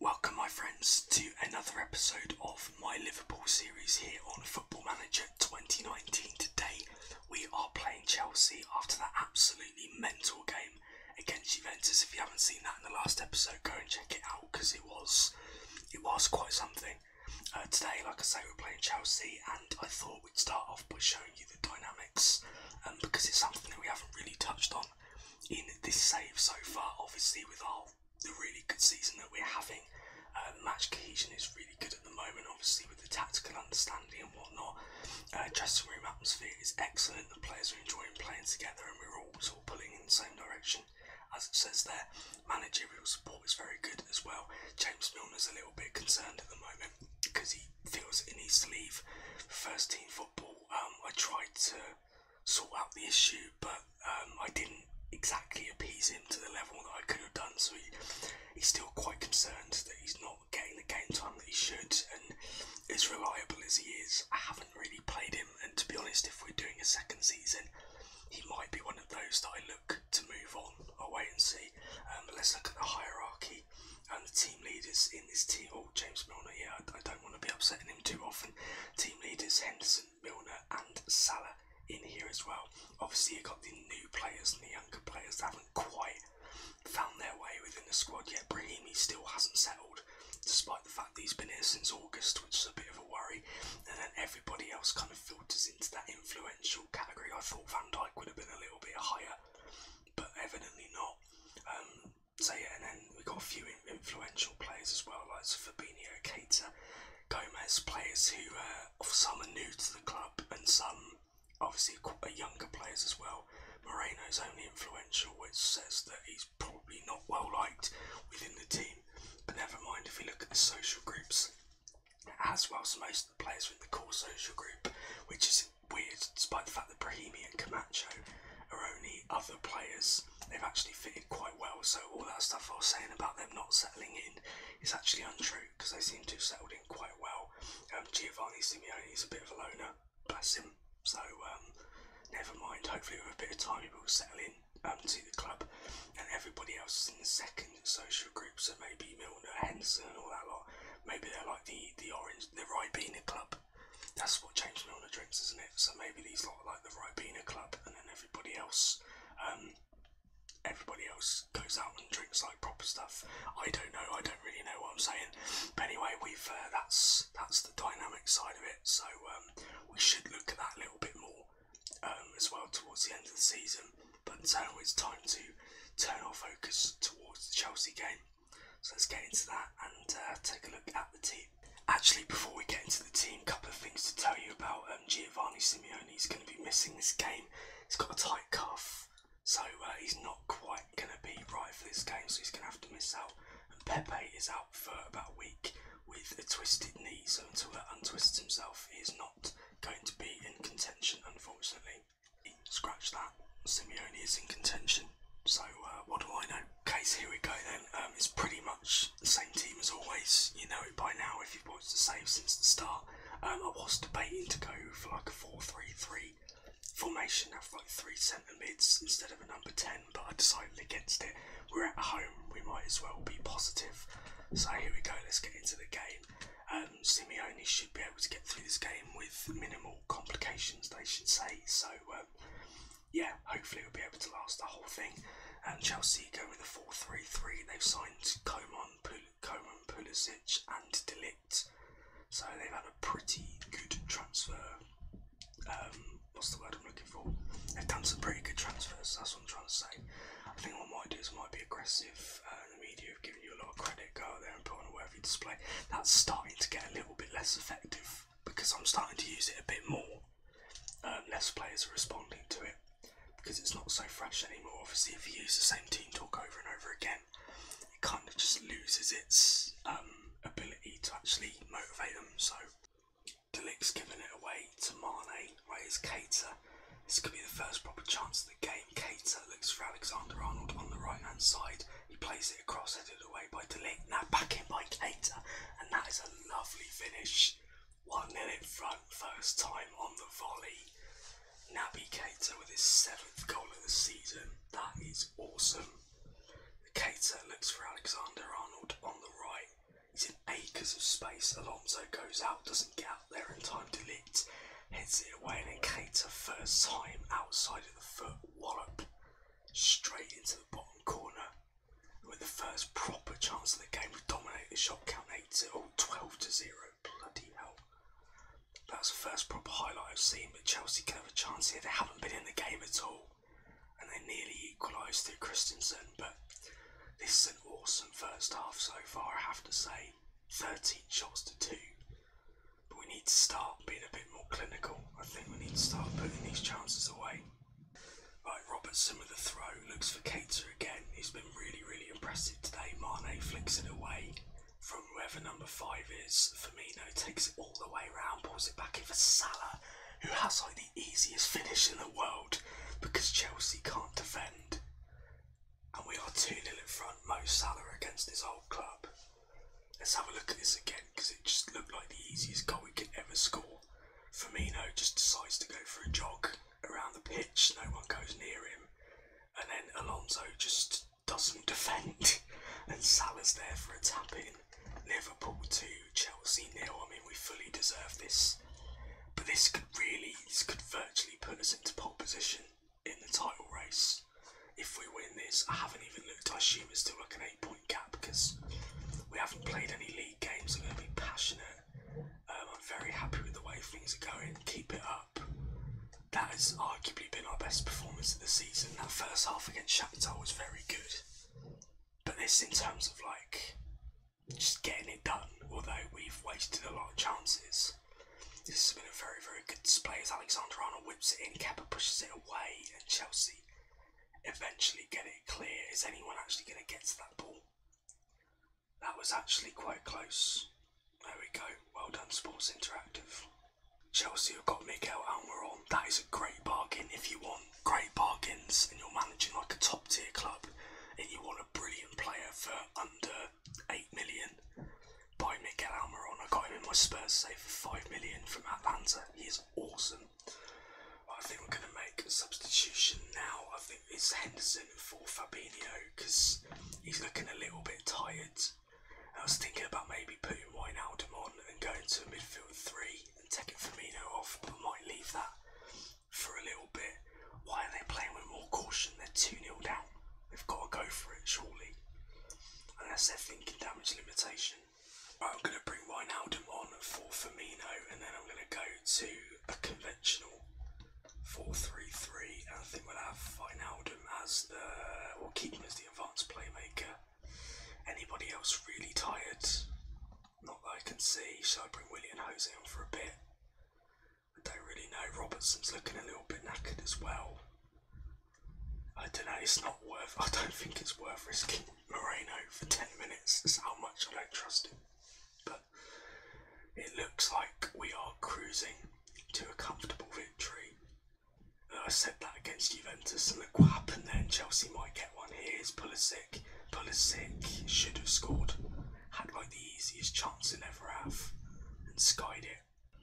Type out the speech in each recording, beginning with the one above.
Welcome, my friends, to another episode of my Liverpool series here on Football Manager 2019. Today, we are playing Chelsea after that absolutely mental game against Juventus. If you haven't seen that in the last episode, go and check it out because it was it was quite something. Uh, today, like I say, we're playing Chelsea, and I thought we'd start off by showing you the dynamics um, because it's something that we haven't really touched on in this save so far. Obviously, with our the really good season that we're having, uh, match cohesion is really good at the moment. Obviously, with the tactical understanding and whatnot, uh, dressing room atmosphere is excellent. The players are enjoying playing together, and we're all sort of pulling in the same direction. As it says there, managerial support is very good as well. James Milner's a little bit concerned at the moment because he feels it needs to leave first team football. Um, I tried to sort out the issue, but um, I didn't exactly appease him to the level that I could have done. So he's still quite concerned that he's not getting the game time that he should. And as reliable as he is, I haven't really played him. And to be honest, if we're doing a second season, he might be one of those that I look to move on. I'll wait and see. Um, let's look at the hierarchy and the team leaders in this team. Oh, James Milner, yeah, I, don't want to be upsetting him too often. Team leaders Henderson, Milner, and Salah in here as well. Obviously, you've got the new players and the younger players that haven't quite found their way within the squad yet. Brahimi still hasn't settled, despite the fact he's been here since August, which is a bit of a worry. And then everybody else kind of filters into that influential category. I thought Van Dyke would have been a little bit higher, but evidently not. Um, so yeah, and then we got a few influential players as well, like Fabinho, Keita, Gomez, players who uh, some are new to the club and some obviously younger players as well. Moreno is only influential, which says that he's probably not well liked within the team. But never mind, if we look at the social groups, as well as most of the players in the core social group, which is weird, despite the fact that Brahimi and Camacho are only other players. They've actually fitted quite well, so all that stuff I was saying about them not settling in is actually untrue because they seem to have settled in quite well. Um, Giovanni Simeone is a bit of a loner, bless him. So um, never mind. Hopefully, with a bit of time, he will settle in um, to the club, and everybody else is in the second social group. So maybe Milner, Henson, all that lot. Maybe they're like the the orange, the Ribena club that's what James the drinks, isn't it? So maybe these lot like the Ribena Club, and then everybody else, um, everybody else goes out and drinks like proper stuff. I don't know. I don't really know what I'm saying. But anyway, we've uh, that's that's the dynamic side of it. So um, we should look at that a little bit more um, as well towards the end of the season. But now uh, it's time to turn our focus towards the Chelsea game. So let's get into that and uh, take a look at the team. Actually, before we get into the team, a couple of things to tell you about um, Giovanni Simeone. is going to be missing this game. He's got a tight cuff, so uh, he's not quite going to be right for this game, so he's going to have to miss out. And Pepe is out for about a week with a twisted knee, so until he untwists himself, he is not going to be in contention, unfortunately. Scratch that. Simeone is in contention. So uh, what do I know? Okay, here we go then. Um, it's pretty much the same team as always. You know it by now if you've watched the save since the start. Um, I was debating to go for like a 4-3-3 formation, have like three centre mids instead of a number 10, but I decided against it. We're at home, we might as well be positive. So here we go, let's get into the game. Um, Simeone should be able to get through this game with minimal complications, they should say. So, um, yeah, hopefully we'll be able to last the whole thing. And Chelsea go with a 4 3 3. They've signed Coman, Pul- Pulisic, and Delict. So they've had a pretty good transfer. Um, what's the word I'm looking for? They've done some pretty good transfers, that's what I'm trying to say. I think what I might do is I might be aggressive. Uh, the media have given you a lot of credit, go out there and put on a worthy display. That's starting to get a little bit less effective because I'm starting to use it a bit more. Um, less players are responding to it because it's not so fresh anymore. Obviously, if you use the same team talk over and over again, it kind of just loses its um, ability to actually motivate them. So, Delict's giving it away to Mane, where is Cater. This could be the first proper chance of Cater looks for Alexander Arnold on the right hand side. He plays it across, headed away by Delic. Now back in by Cater, and that is a lovely finish. 1 0 in front, first time on the volley. Naby Cater with his seventh goal of the season. That is awesome. Cater looks for Alexander Arnold on the right. He's in acres of space. Alonso goes out, doesn't get out there in time to lead, heads it away and then Cater first time outside of the foot wallop straight into the bottom corner with the first proper chance of the game to dominate the shot count 8 to oh, 12 to 0 bloody hell that's the first proper highlight I've seen but Chelsea can have a chance here they haven't been in the game at all and they nearly equalised through Christensen but this is an awesome first half so far I have to say 13 shots to two. But we need to start being a bit more clinical. I think we need to start putting these chances away. Right, Robertson with the throw looks for Cater again. He's been really, really impressive today. Mane flicks it away from whoever number five is. Firmino takes it all the way round, pulls it back in for Salah, who has like the easiest finish in the world because Chelsea can't defend. And we are 2 nil in front, Mo Salah against his old club. Let's have a look at this again because it just looked like the easiest goal we could ever score. Firmino just decides to go for a jog around the pitch, no one goes near him. And then Alonso just doesn't defend. and Salah's there for a tap in. Liverpool 2, Chelsea nil. I mean, we fully deserve this. But this could really, this could virtually put us into pole position in the title race. If we win this, I haven't even looked. I assume it's still like an eight-point gap because we haven't played any league games. I'm going to be passionate. Um, I'm very happy with the way things are going. Keep it up. That has arguably been our best performance of the season. That first half against Shakhtar was very good, but this, in terms of like just getting it done, although we've wasted a lot of chances this. has been a very, very good display as Alexander Arnold whips it in. Kepa pushes it away, and Chelsea eventually get it clear. Is anyone actually going to get to that ball? That was actually quite close. There we go. Well done, Sports Interactive. Chelsea have got Miguel Almiron. That is a great bargain if you want great bargains and you're managing like a top tier club and you want a brilliant player for under 8 million by Miguel Almiron. I got him in my Spurs save for 5 million from Atlanta. He is awesome. I think we're going to make a substitution now. I think it's Henderson for Fabinho because he's looking a little bit tired. I was thinking about maybe putting Wijnaldum on and going to a midfield three and taking Firmino off, but might leave that for a little bit. Why are they playing with more caution? They're 2 nil down. They've got to go for it, shortly, Unless they're thinking damage limitation. I'm going to bring Wijnaldum on for Firmino, and then I'm going to go to a conventional four-three-three, And I think we'll have Wijnaldum as the. we keeping as the advanced playmaker. Anybody else really tired? Not that I can see. So I bring William Jose on for a bit? I don't really know. Robertson's looking a little bit knackered as well. I don't know, it's not worth, I don't think it's worth risking Moreno for 10 minutes. That's how much I don't trust him. But it looks like we are cruising to a comfortable victory. Uh, I said that against Juventus, and look could happen then. Chelsea might get one. Here's Pulisic. Pulisic should have scored had like the easiest chance he'll ever have and skied it.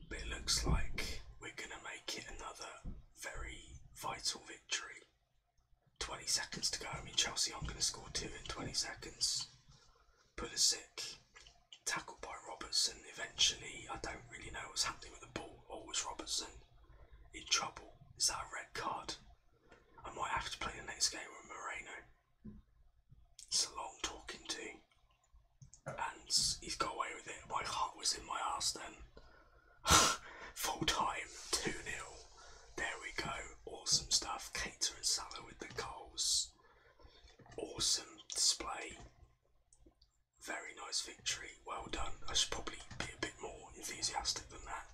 But it looks like we're going to make it another very vital victory. 20 seconds to go. I mean, Chelsea I'm going to score two in 20 seconds. Pulisic, tackled by Robertson. Eventually, I don't really know what's happening with the ball. Always oh, Robertson in trouble? Is that a red card? I might have to play the next game with Moreno. It's a long talking to. And he's got away with it. My heart was in my ass then. Full time, 2 0. There we go. Awesome stuff. Cater and Salah with the goals. Awesome display. Very nice victory. Well done. I should probably be a bit more enthusiastic than that.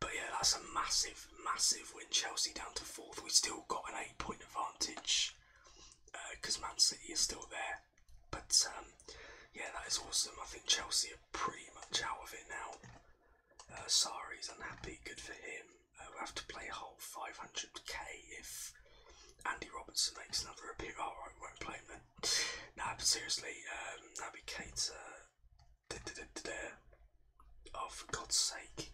But yeah, that's a massive, massive win. Chelsea down to fourth. We still got an eight point advantage because uh, Man City is still there. But um, yeah, that is awesome. I think Chelsea are pretty much out of it now. Uh, Sari's unhappy, good for him. Uh, we have to play a whole 500k if Andy Robertson makes another appearance. Alright, oh, won't play him then. but seriously, um, Naby Keita Oh, for God's sake.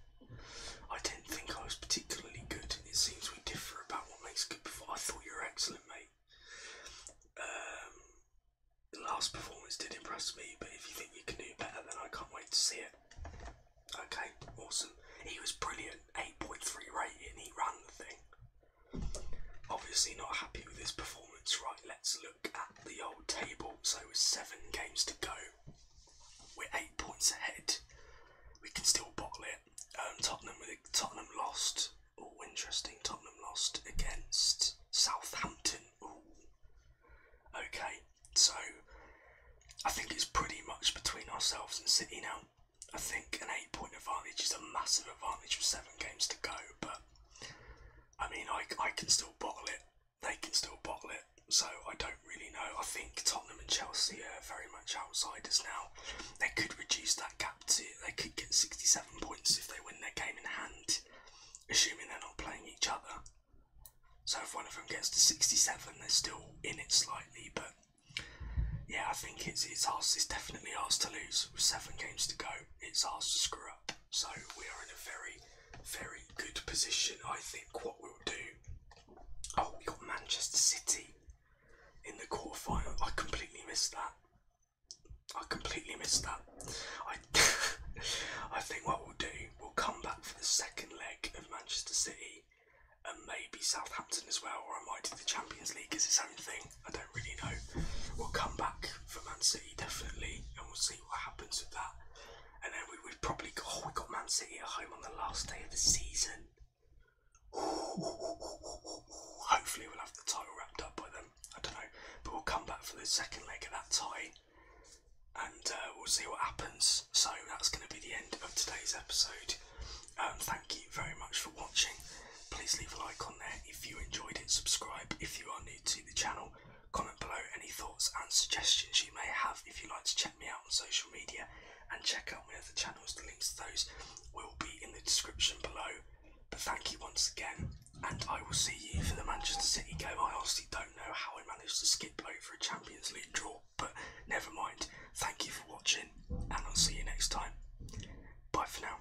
I didn't think I was particularly good, and it seems we differ about what makes good performance. I thought you were excellent, mate. Um, the last performance did impress me, but if you think you can do better, then I can't wait to see it. Okay, awesome. He was brilliant, 8.3 rating, he ran the thing. Obviously not happy with his performance, right, let's look look at the old table, so with seven games to go, we're eight points ahead. We can still bottle it. Um, Tottenham, Tottenham lost. Oh, interesting. Tottenham lost against Southampton. Ooh. Okay, so I think it's pretty much between ourselves and City now. I think an eight-point advantage is a massive advantage with seven games to go, but I mean, I, I can still bottle it. They can still bottle it. So I don't really know. I think Tottenham and Chelsea are very much outsiders now. They could reduce that gap to. They could get 67 points if they win their game in hand, assuming they're not playing each other. So if one of them gets to 67, they're still in it slightly. But yeah, I think it's it's ours. It's definitely ours to lose with seven games to go. It's ours to screw up. So we are in a very, very good position. I think what we'll do. Oh, we got Manchester City in the quarterfinal. I completely missed that. I completely missed that. I, I think what we'll do, we'll come back for the second leg of Manchester City and maybe Southampton as well, or I might do the Champions League as its own thing. I don't really know. We'll come back for Man City definitely, and we'll see what happens with that. And then we would probably go. Oh, we got Man City at home on the last day of the season. Hopefully, we'll have the title wrapped up by then. I don't know, but we'll come back for the second leg of that tie, and uh, we'll see what happens. So that's going to be the end of today's episode. Um, thank you very much for watching. Please leave a like on there if you enjoyed it. Subscribe if you are new to the channel. Comment below any thoughts and suggestions you may have if you'd like to check me out on social media and check out my other channels. The links to those will be in the description below. But thank you once again, and I will see you for the Manchester City game. I honestly don't know how I managed to skip over a Champions League draw, but never mind. Thank you for watching, and I'll see you next time. Bye for now.